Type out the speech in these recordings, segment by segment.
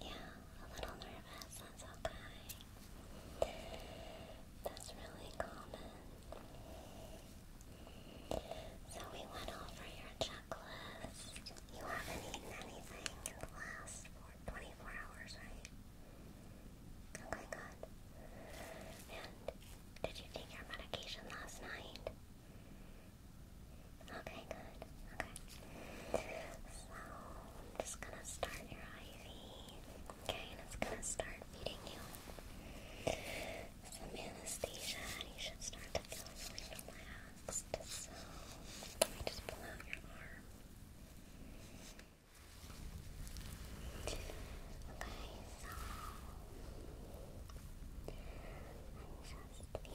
Yeah, a little nervous, that's okay. That's really common. So we went over your checklist. You haven't eaten anything in the last four, 24 hours, right? Okay, good. And did you take your medication last night? Okay, good. Okay. So, I'm just gonna start your IV. Okay, and it's gonna start feeding you some anesthesia, and you should start to feel really relaxed. So, let me just pull out your arm. Okay, so chest feeling for pain.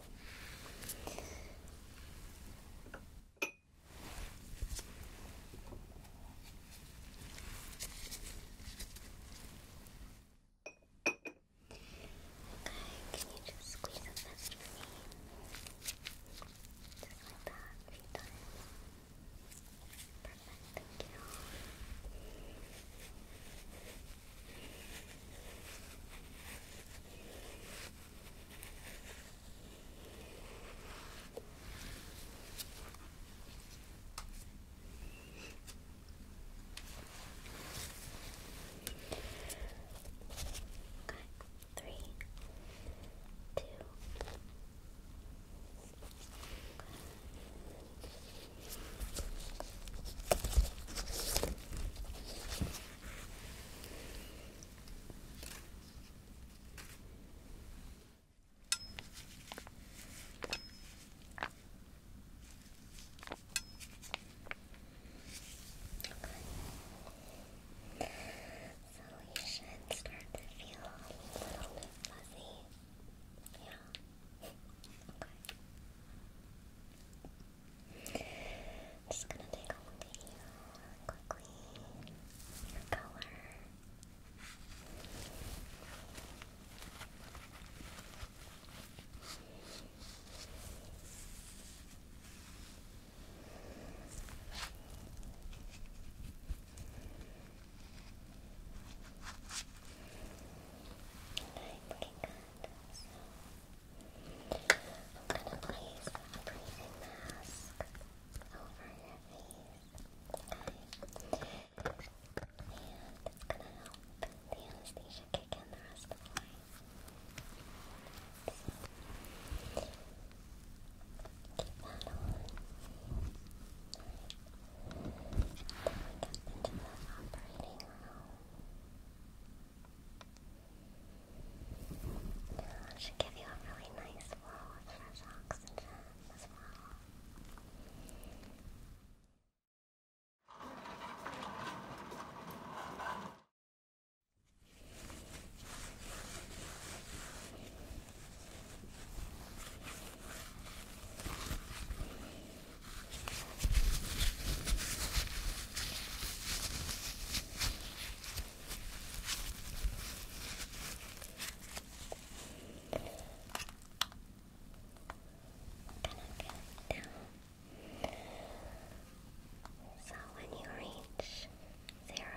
Can you just squeeze them faster for me? Just like that, a few times. Perfect, thank you. Okay, Okay, three, two. Okay. So you should start to feel a little bit fuzzy. Yeah. Okay i just gonna take a look you quickly. color. And looking good, so gonna place a breathing mask over your face, And it's gonna help the anesthesia kick in the rest of the way. keep that on. Alright. Then we get into the operating room. Yeah, should give you a really nice flow of fresh oxygen as well going So when you reach zero,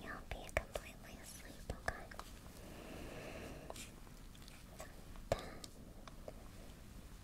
you'll be completely asleep, okay? So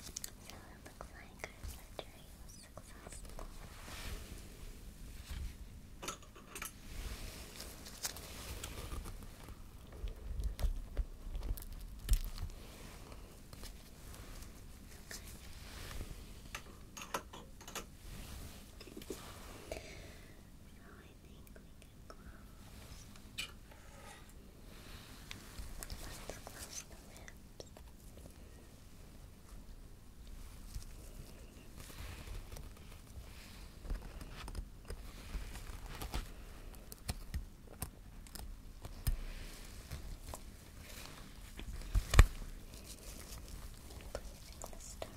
So it looks like surgery was successful think we can close. Let's close the lips. Placing the star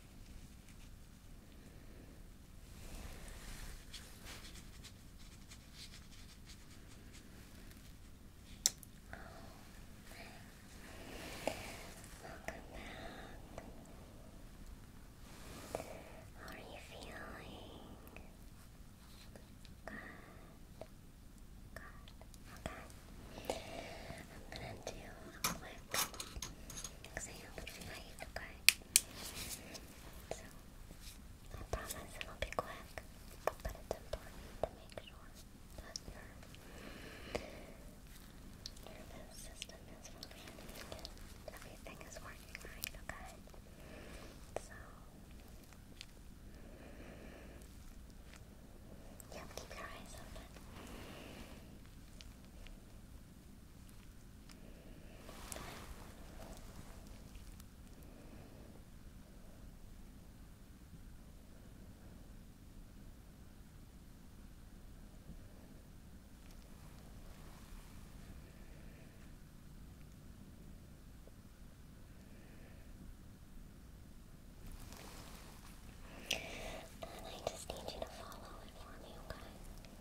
Welcome back. How are you feeling? Good. Good. Okay. I'm gonna do a quick exam of okay? So, I promise it'll be quick, but it's important to make sure that your nervous system is functioning everything is working right, okay? So, yeah, keep your eyes open. And I just need you to follow it for me, okay? Good.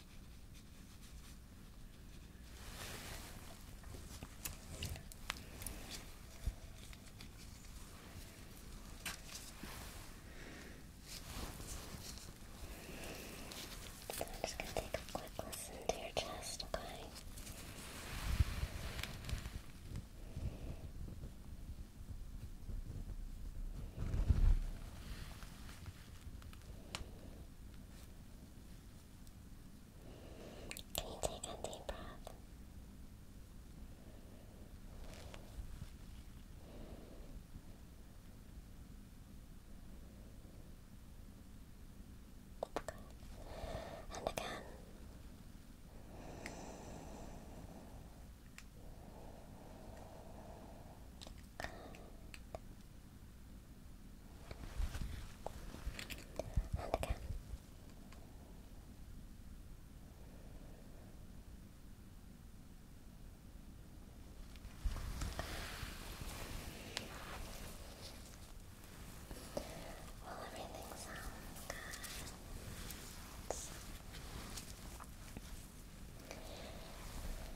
So I'm just going to take a quick listen to your chest, Okay. Can you take a deep breath? Good. And again. And again. Well, everything sounds good.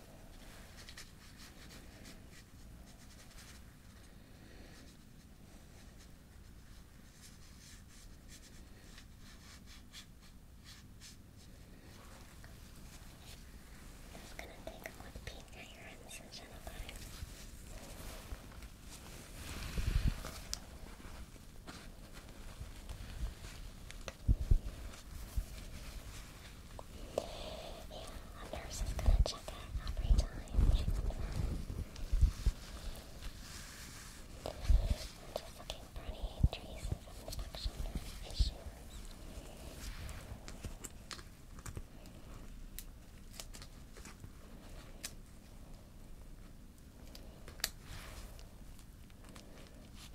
Just gonna take a quick peek at your hands and gentle body. Yeah, a nurse is gonna check it every time just looking for any traces of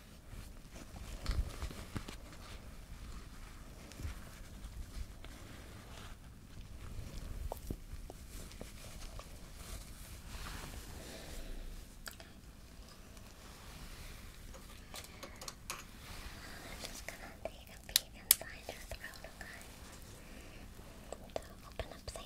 I'm just gonna take a peek inside your throat, okay? So open up, say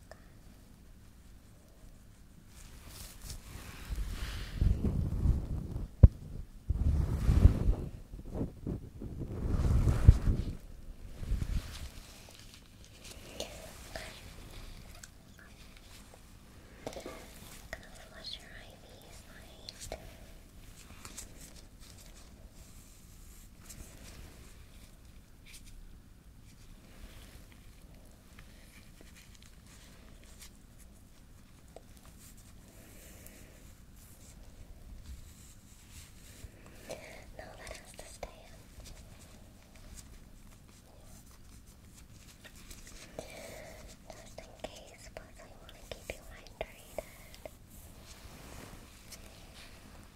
I'm gonna flush your IVs light. Okay. No, that has to stay in. Just in case, plus I want to keep you hydrated.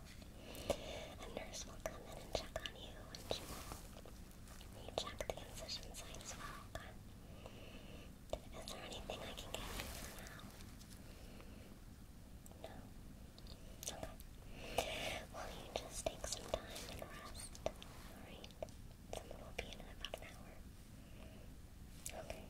off. A nurse will come in and check on you, and she will recheck the incision site as well, Is there anything I can get you now? No? Okay. Well, you just take some time and rest, alright? Someone will be in about an hour. Okay. Great.